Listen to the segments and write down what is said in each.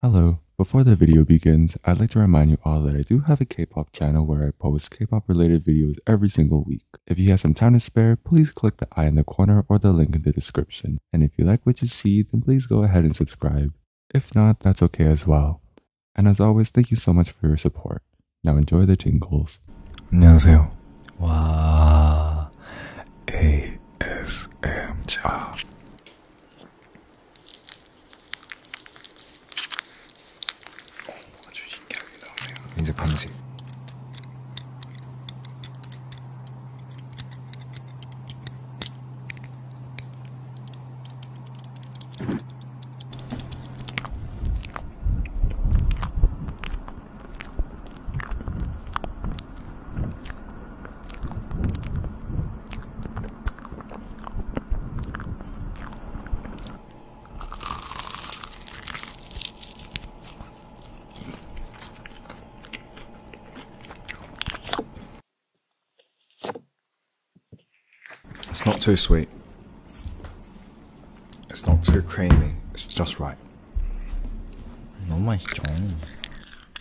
Hello, before the video begins, I'd like to remind you all that I do have a K-pop channel where I post K-pop related videos every single week. If you have some time to spare, please click the eye in the corner or the link in the description. And if you like what you see, then please go ahead and subscribe. If not, that's okay as well. And as always, thank you so much for your support. Now enjoy the jingles. 안녕하세요. 와, ASMR. 아주 신기하게 나오네요. 이제 방식. It's not too sweet. It's not too creamy. It's just right. 너무 맛있죠.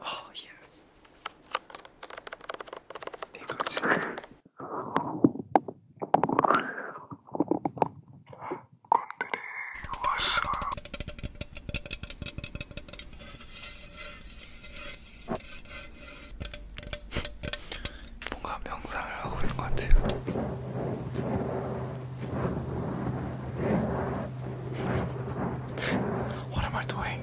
Oh, yes. They go to 뭔가 명상을 하고 있는 것 같아요. What am I doing?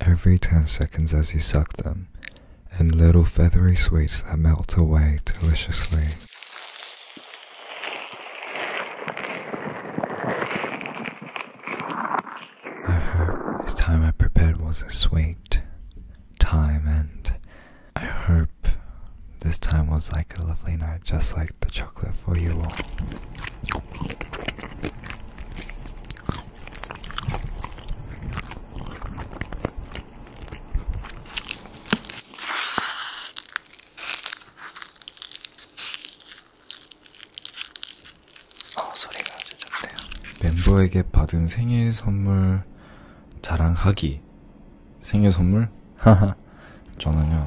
every 10 seconds as you suck them, and little feathery sweets that melt away deliciously. I hope this time I prepared was a sweet time, and I hope this time was like a lovely night, just like the chocolate for you all. 어, 소리가 아주 좋네요. 멤버에게 받은 생일 선물 자랑하기. 생일 선물? 저는요,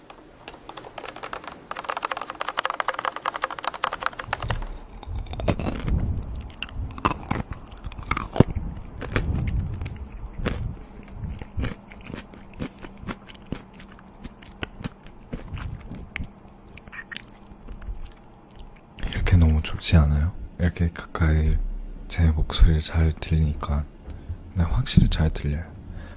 이렇게 너무 좋지 않아요? 이렇게 가까이 제 목소리를 잘 들리니까 네, 확실히 잘 들려요.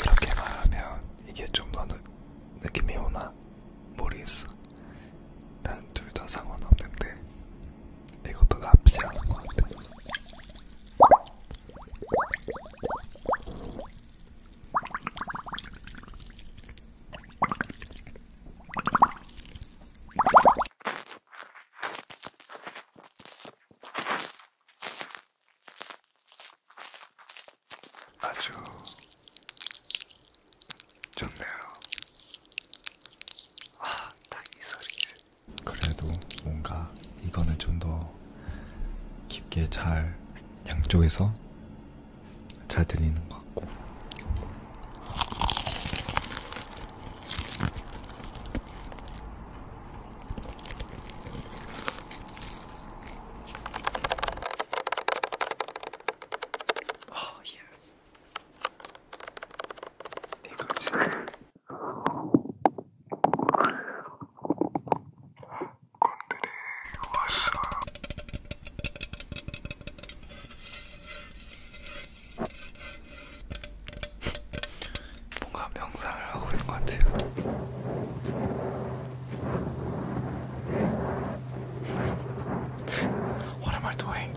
이렇게 말하면 이게 좀 더 느낌이 오나 모르겠어. 난 둘 다 상관없는데 이것도 나쁘지 않은 것 같아. 아주 좋네요. 아, 딱이 소리지. 그래도 뭔가 이거는 좀 더 깊게 잘 양쪽에서 잘 들리는 것 같고 아, oh, 예스. Yes. 내가 지금 뭔가 명상을 하고 있는 것 같아요. What am I doing?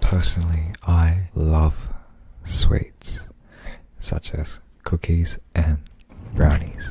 Personally, I love sweets such as cookies and brownies.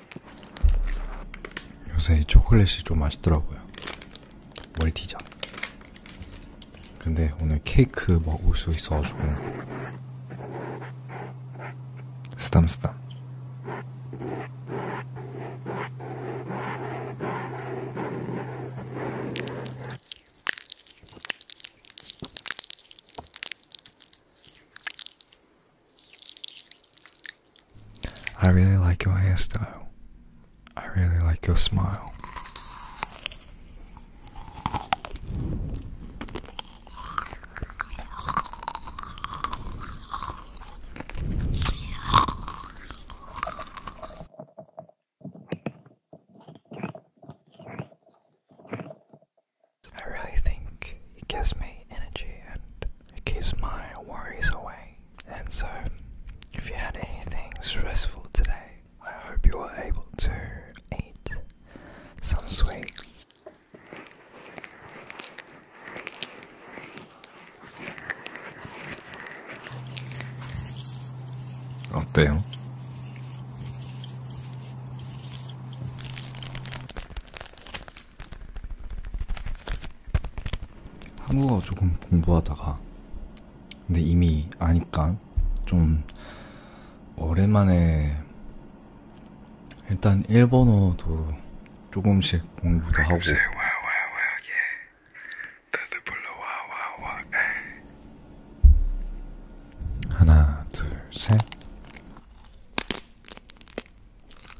요새 이 초콜릿이 좀 맛있더라고요. 멀티자. 근데 오늘 케이크 먹을 수 있어가지고 쓰담쓰담. I really like your hairstyle. I really like your smile. I really think it gives me energy and it keeps my worries away. And so, if you had anything stressful today, I hope you were able to eat some sweets. 어때요? 한국어 조금 공부하다가 근데 이미 아니까 좀 오랜만에 일단 일본어도 조금씩 공부도 하고 예. 예. 하나 둘셋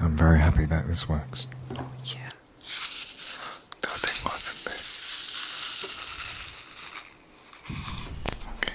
I'm very happy that this works. Yeah. 너된 것 같은데. Okay.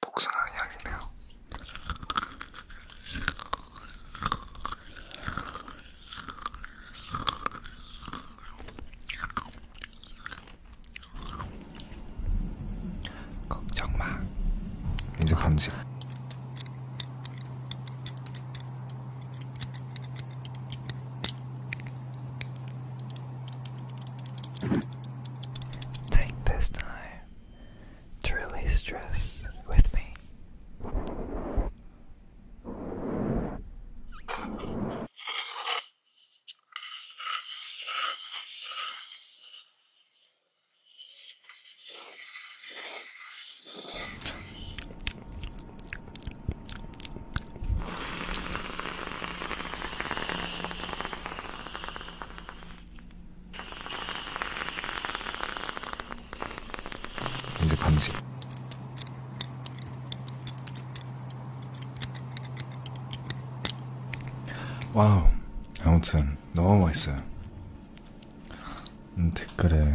복숭아 향이네요. 걱정 마. 이제 반지. Take this time to release stress with me. 이제 감지. 와우. 아무튼 너무 맛있어요. 음, 댓글에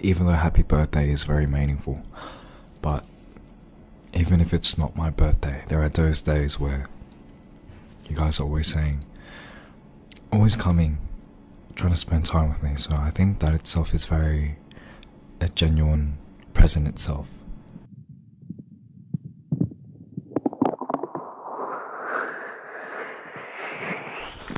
even though happy birthday is very meaningful. But even if it's not my birthday, there are those days where you guys are always saying, always coming, trying to spend time with me. So I think that itself is very a genuine present itself.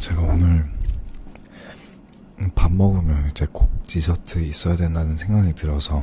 제가 오늘 밥 먹으면 이제 꼭 디저트 있어야 된다는 생각이 들어서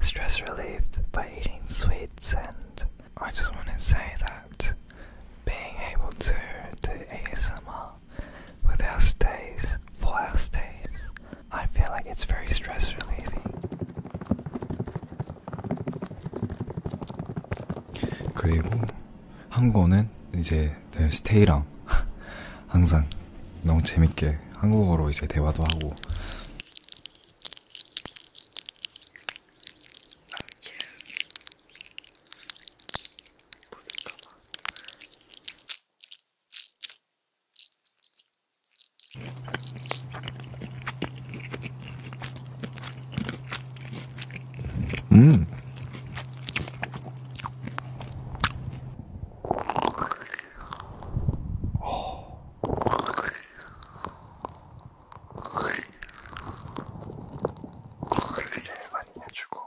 stress relieved by eating sweets and I just want to say that being able to do ASMR with our stays, for stays, I feel like it's very stress relieving. 그리고 한국어는 이제 스테이랑 항상 너무 재밌게 한국어로 이제 대화도 하고 아니야. 못을까봐. 음. 어. 소리를 많이 해주고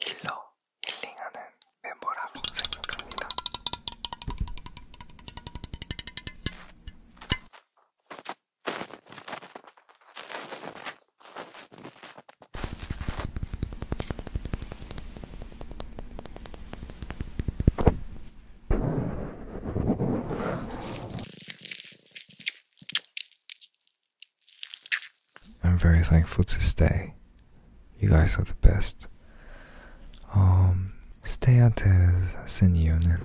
힐러, 힐링하는 멤버라고 생각합니다. I'm very thankful to stay. You guys are the best. Um, stay at the Senionen.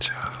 Yeah.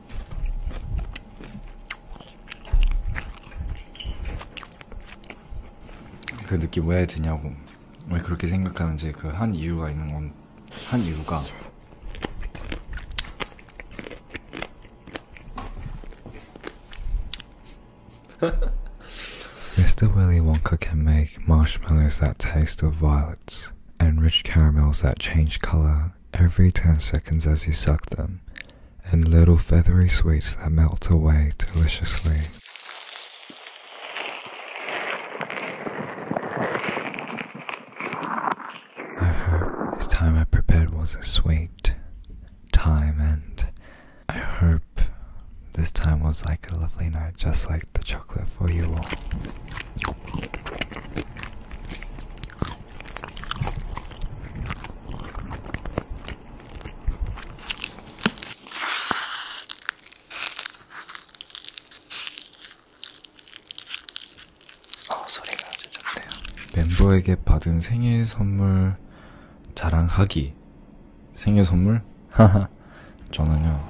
Mr. Willy Wonka can make marshmallows that taste of violets and rich caramels that change color every 10 seconds as you suck them and little feathery sweets that melt away deliciously. I hope this time I prepared was a sweet time, and I hope this time was like a lovely night, just like the chocolate for you all. 어, 소리가 아주 좋네요. 멤버에게 받은 생일 선물 자랑하기. 생일 선물? 저는요.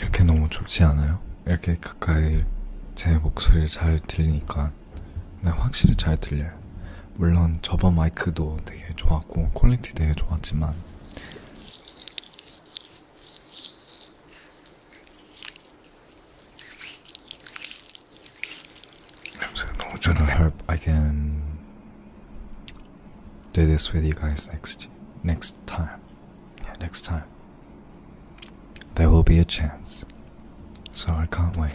이렇게 너무 좋지 않아요? 이렇게 가까이 제 목소리를 잘 들리니까 네, 확실히 잘 들려요. 물론 저번 마이크도 되게 좋았고 퀄리티 되게 좋았지만 I know, Herb, I can do this with you guys next next time. next time. There will be a chance. So I can't wait.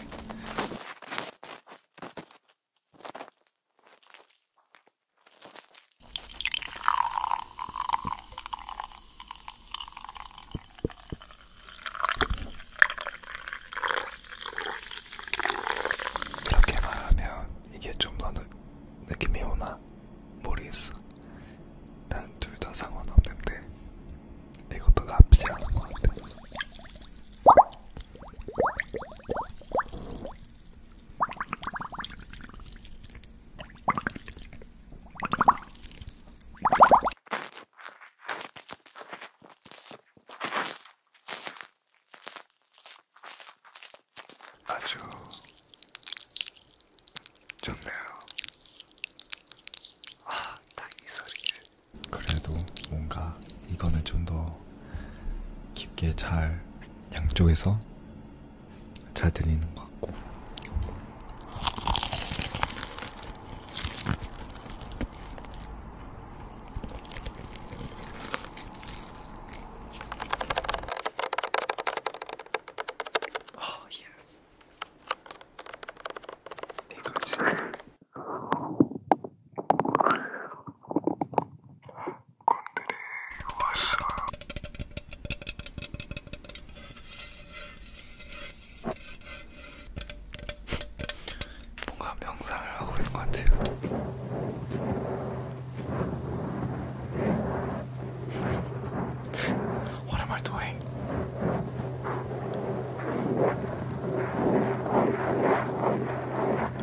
이렇게 말하면 이게 좀 더 느낌이 오나 모르겠어. 난 둘 다 상관없는데 이것도 나쁘지 않은 것 같아. 아주 좋네요. 아, 딱이 소리지. 그래도 뭔가 이거는 좀더 깊게 잘 양쪽에서 잘 들리는 것 같고 아, oh, 예스. 내가 지금 군들이 왔어요. 뭔가 명상을 하고 있는 것 같아요. What am I doing?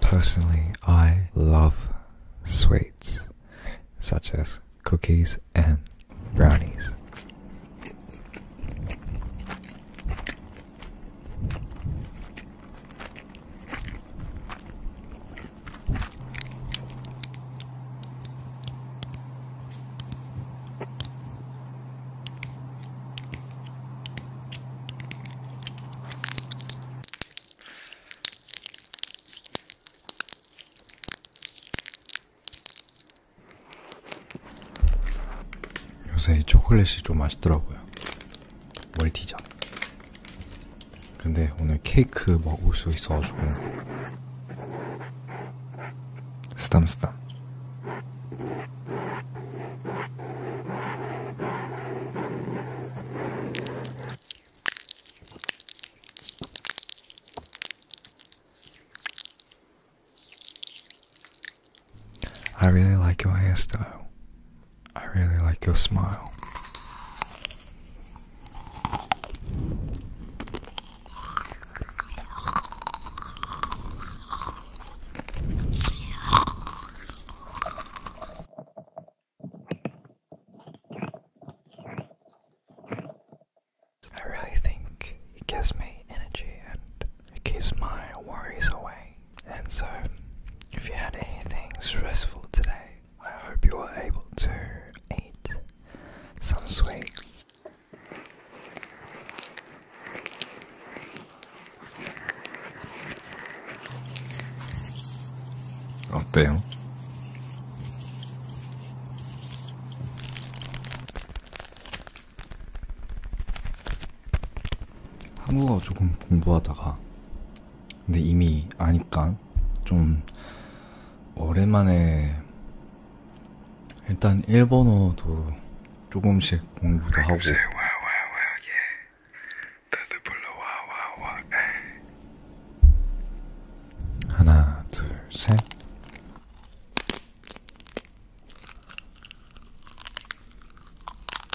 Personally, I love sweets such as cookies and brownies. 요새 이 초콜릿이 좀 맛있더라고요. 멀티자. 근데 오늘 케이크 먹을 수 있어가지고 스담스담. I really like your hairstyle. I really like your smile. I really think it gives me energy and it keeps my worries away. And so, if you had anything stressful today, I hope you were able to eat some sweets. 어때요? 한국어 조금 공부하다가 근데 이미 아니까 좀 오랜만에 일단 일본어도 조금씩 공부도 하고 예. 하나 둘셋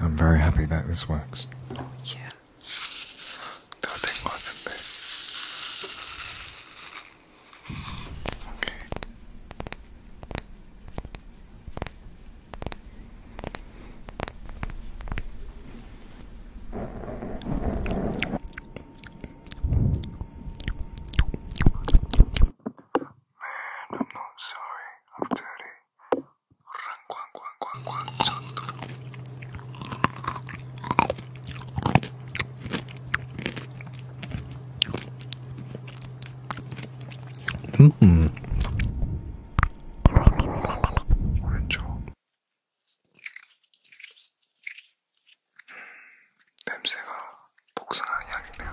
I'm very happy that this works. Yeah. 너된 거 같은데. Okay. I'm not sorry. I'm dirty. 꽝꽝꽝꽝 전두 음음 왼쪽 냄새가 복숭아 향이네요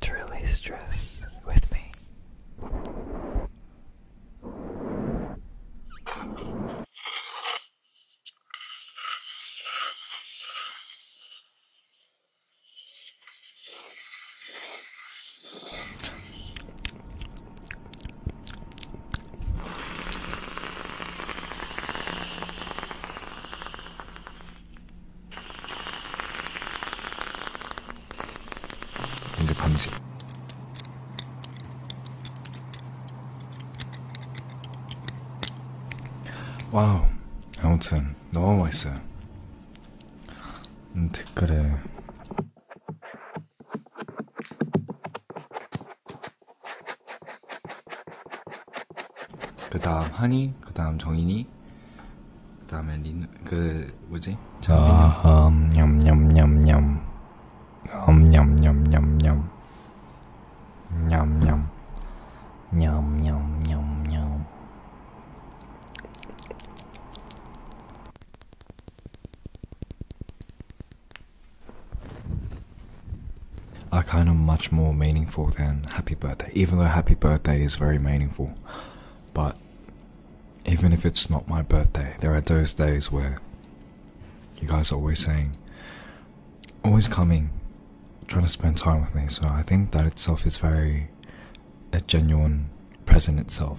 to release stress with me. 이제 감지. 와우. 아무튼 너무 맛있어요. 음, 댓글에 그 다음 한이, 그 다음 정인이, 그 Are kind of much more meaningful than Happy Birthday, even though Happy Birthday is very meaningful. But even if it's not my birthday, there are those days where you guys are always saying, always coming, trying to spend time with me. So I think that itself is very a genuine present itself.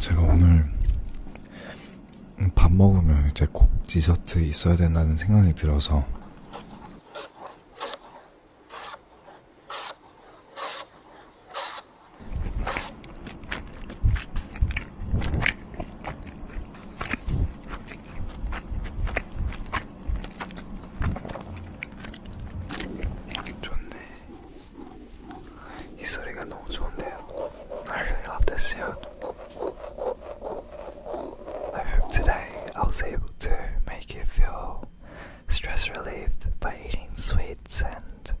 제가 오늘 밥 먹으면 이제 꼭 디저트 있어야 된다는 생각이 들어서 이 소리가 너무 좋은데요. I really love this sound. I hope today I was able to make you feel stress relieved by eating sweets and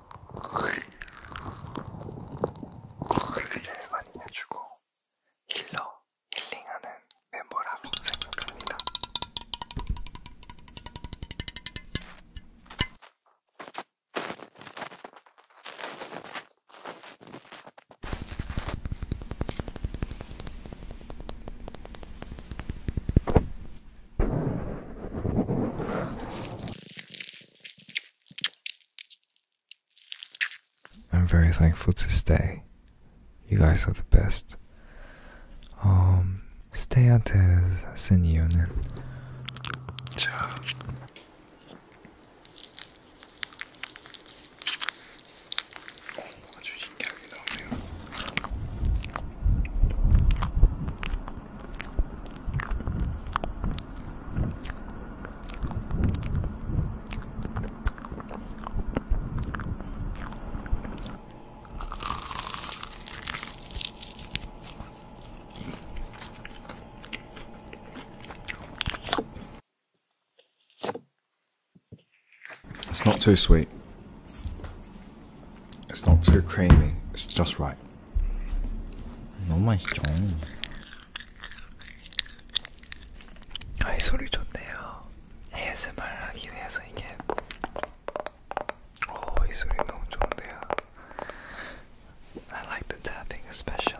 관리를 많이 해주고 힐러, 힐링하는 멤버라고 생각합니다. I'm very thankful to stay. You guys are the best. Um, stay até essa né? Tchau. It's not too sweet. It's not too creamy. It's just right. 너무 맛있죠. 아이 소리 좋네요. ASMR 하기 위해서 이게. 오, 이 소리 너무 좋은데요. I like the tapping especially.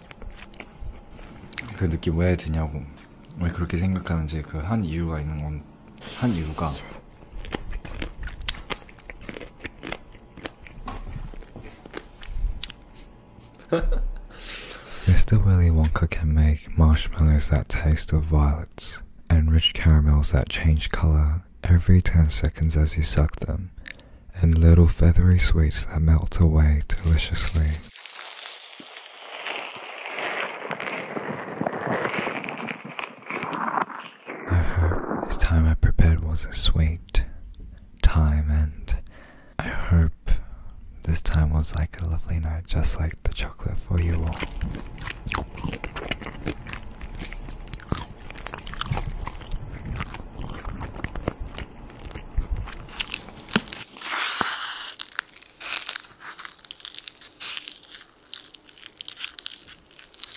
Mr. Willy Wonka can make marshmallows that taste of violets and rich caramels that change color every 10 seconds as you suck them and little feathery sweets that melt away deliciously. I hope this time I prepared was a sweet time, and I hope this time was like a lovely night, just like the chocolate for you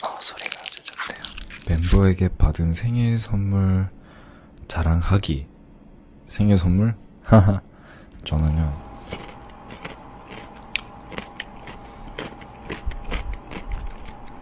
어, 소리가 아주 좋네요. 멤버에게 받은 생일 선물 자랑하기. 생일 선물? 하하. 저는요.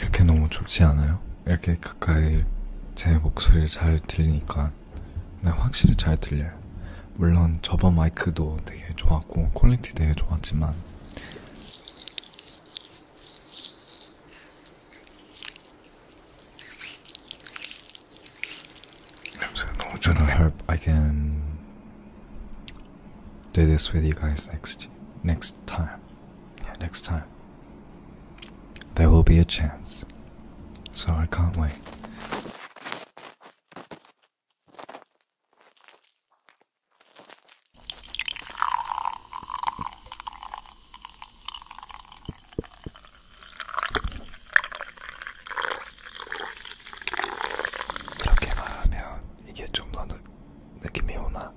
이렇게 너무 좋지 않아요? 이렇게 가까이 제 목소리를 잘 들리니까 네, 확실히 잘 들려요. 물론 저번 마이크도 되게 좋았고 퀄리티 되게 좋았지만 I hope I can do this with you guys next next time. next time. There will be a chance. So I can't wait. 이렇게 말하면 이게 좀 더 느낌이 오나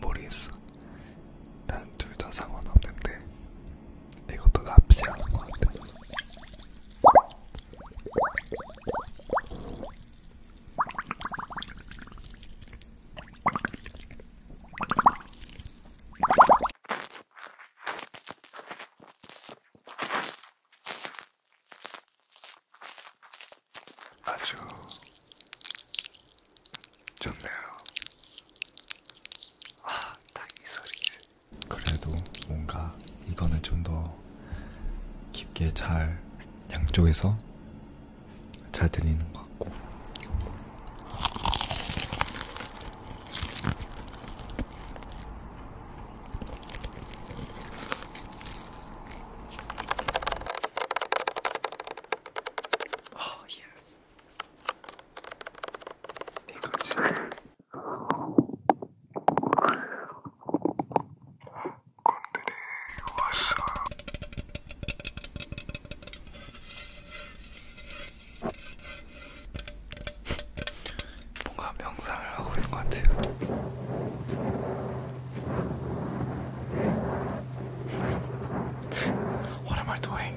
모르겠어. 난 둘 다 상관없는데 이것도 나쁘지 않은 것 같아. 아주 좋네요. 아, 딱이 소리지. 그래도 뭔가 이거는 좀더 깊게 잘 양쪽에서 잘 들리는 것 같고 아, oh, 예스. 내가 지금 군들이 왔어요. 뭔가 명상을 하고 있는 것 같아요. What am I doing?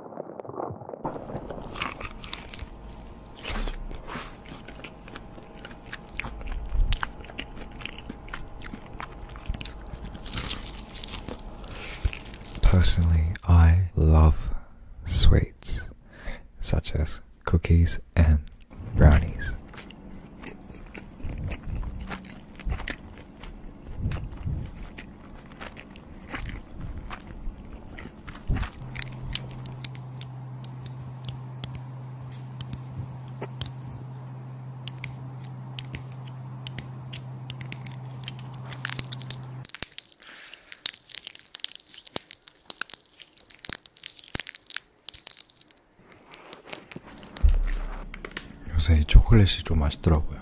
Personally, I love sweets such as cookies and brownies. 요새 이 초콜릿이 좀 맛있더라고요.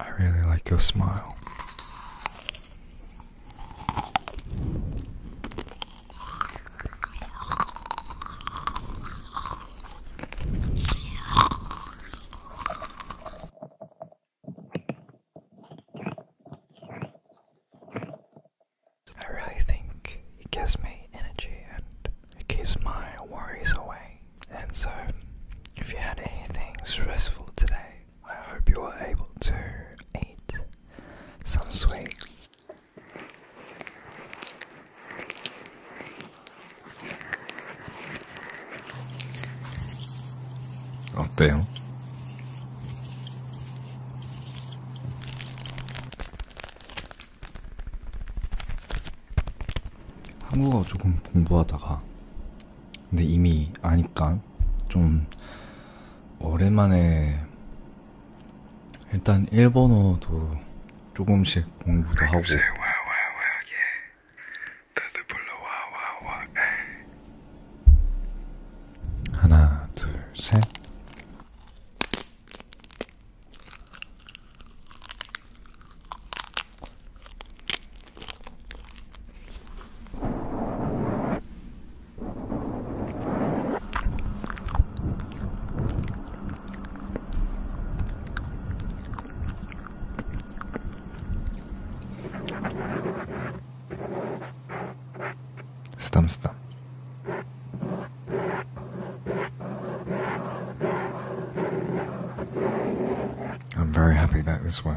I really like your smile. I really think it gives me energy and it keeps my worries away. And so, if you had anything stressful today, I hope you were able to eat some sweets. 어때요? 한국어 조금 공부하다가 근데 이미 아니까 좀 오랜만에 일단 일본어도 조금씩 공부도 하고 예. 예. 하나 둘셋 Stam, stam. I'm very happy that this way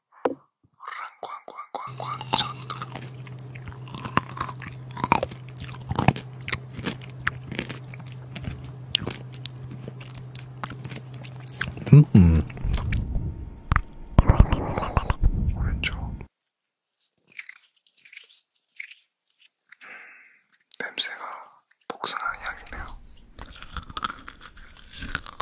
꽝꽝꽝꽝 전도 음음 왼쪽 냄새가 복숭아 향이네요.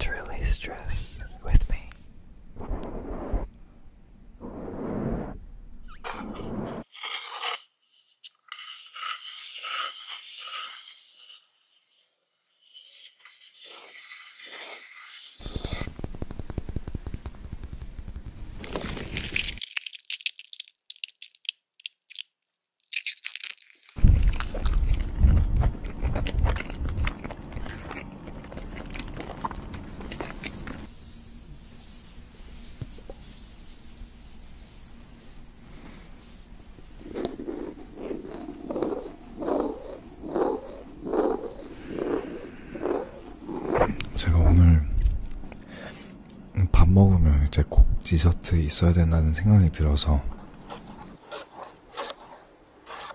to release stress with me. 제가 오늘 밥 먹으면 이제 꼭 디저트 있어야 된다는 생각이 들어서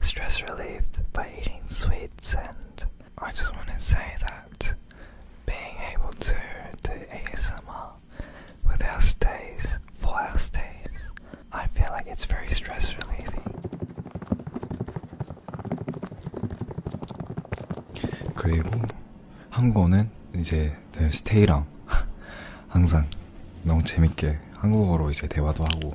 stress relieved by eating sweets, and I just want to say that being able to do ASMR with our stays, for our stays, I feel like it's very stress relieving. 그리고 한국어는 이제 스테이랑 항상 너무 재밌게 한국어로 이제 대화도 하고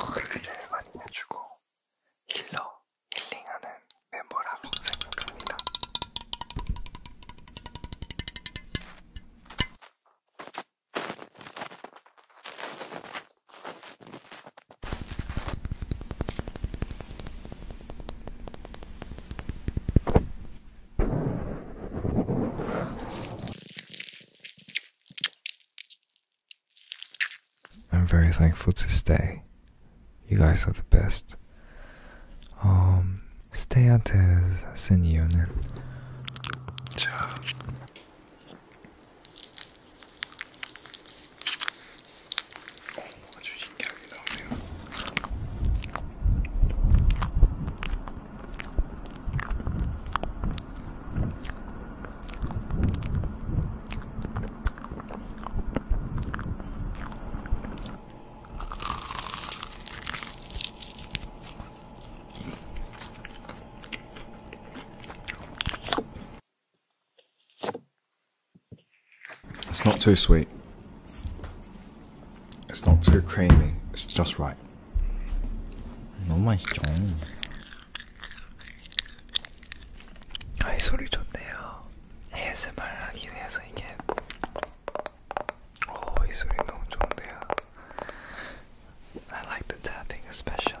소리를 많이 해주고 힐러, 힐링하는 멤버라고 생각합니다. I'm very thankful to stay. You guys are the best. Um, stay até the reunião. Tchau. 아주 신기하게 나오네요. It's not too sweet. It's not too creamy. It's just right. 너무 맛있죠. 아이 소리 좋네요. ASMR 하기 위해서 이게 오이 소리 너무 좋은데요. I like the tapping especially.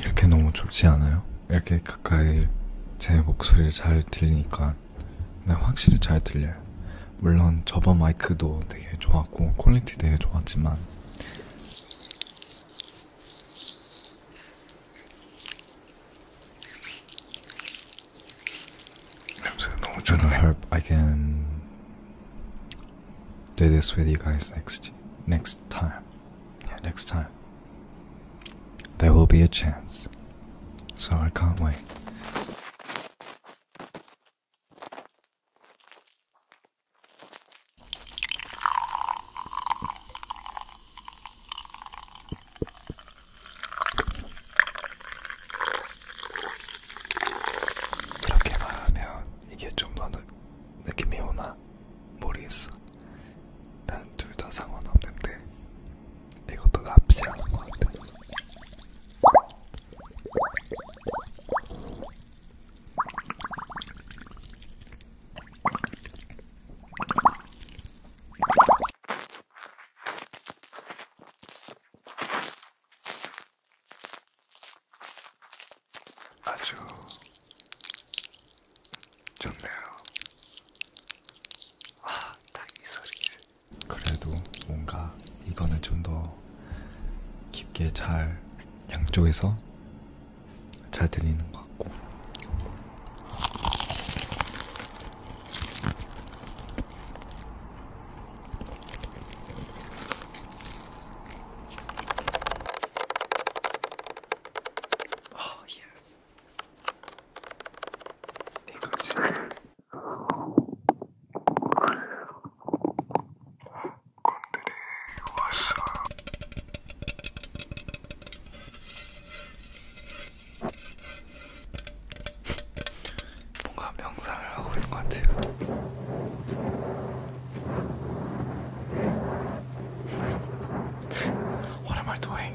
이렇게 너무 좋지 않아요? 이렇게 가까이 제 목소리를 잘 들리니까 네, 확실히 잘 들려요. 물론 저번 마이크도 되게 좋았고 퀄리티 되게 좋았지만 I hope I can do this with you guys next next time. next time. There will be a chance. So I can't wait. 이렇게 말하면 이게 좀 더 느낌이 오나 모르겠어. 난 둘 다 상관없는데 이것도 나쁘지 않은 것 같아. 아주 좋네요. 아, 딱이 소리지. 그래도 뭔가 이거는 좀 더 깊게 잘 양쪽에서 잘 들리는 것 같고. Oh, yes. 대각선. 사냥꾼들이 왔어요. 뭔가 명상을 하고 있는 것 같아요. What am I doing?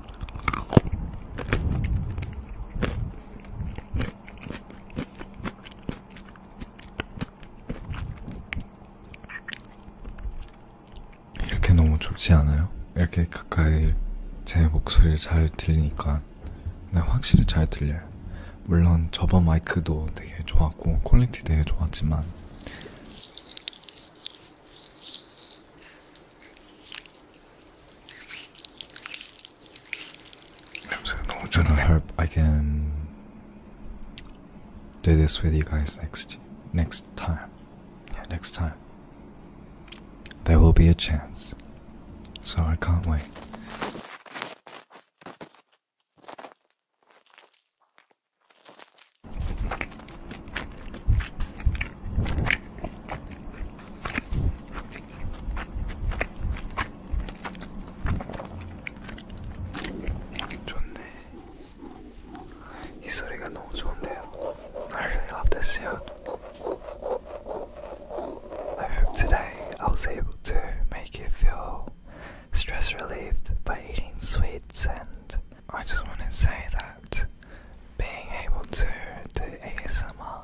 이렇게 너무 좋지 않아요? 이렇게 가까이 제 목소리를 잘 들리니까 네, 확실히 잘 들려요. 물론 저번 마이크도 되게 좋았고 퀄리티 되게 좋았지만 I hope I can do this with you guys next next time. next time. There will be a chance. So I can't wait. 좋네. 이 소리가 너무 좋은데요. I really love this sound. I hope today I was able to make you feel stress relieved by eating sweets, and I just want to say that being able to do ASMR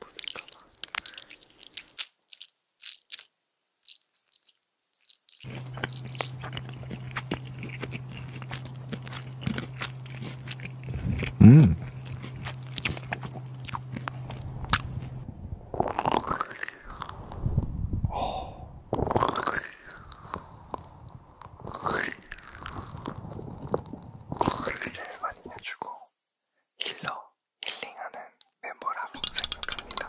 묻을까봐. 음. 어. 어, 제일 많이 해주고 힐러, 힐링하는 멤버라고 생각합니다.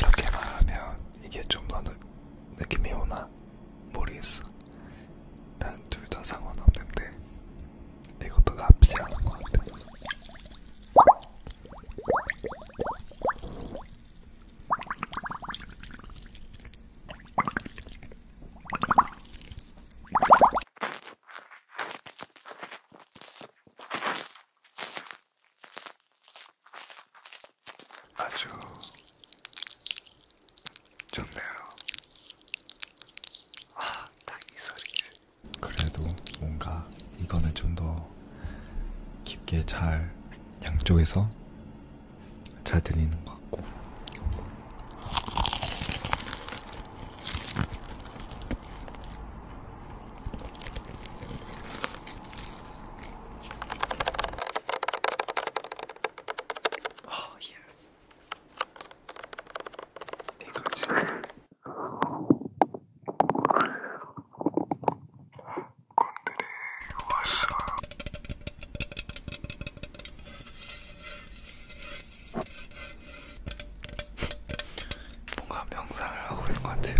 이렇게 말하면 이게 좀더 느낌이 오나 모르겠어. 난둘 다 상관없는데 이것도 나쁘지 않은 것 같아. 아주 좋네요. 아, 딱이 소리지. 그래도 뭔가 이거는 좀 더 깊게 잘 양쪽에서 잘 들리는 것 같고. Oh, yes. 건들이 왔어요. 뭔가 명상을 하고 있는 것 같아요.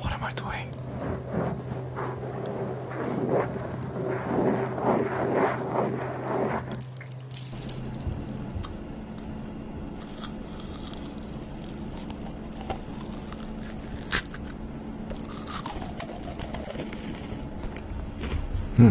what am I doing? Hmm.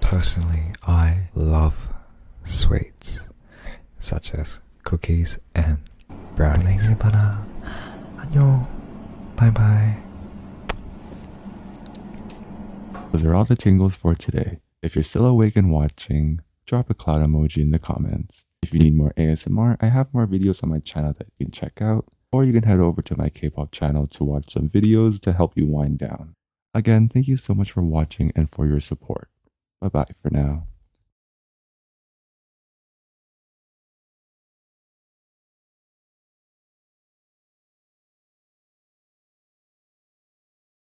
Personally, I love sweets such as cookies and brownies. Bye bye. Those are all the tingles for today. If you're still awake and watching, drop a cloud emoji in the comments. If you need more ASMR, I have more videos on my channel that you can check out, or you can head over to my K-pop channel to watch some videos to help you wind down. Again, thank you so much for watching and for your support. Bye-bye for now.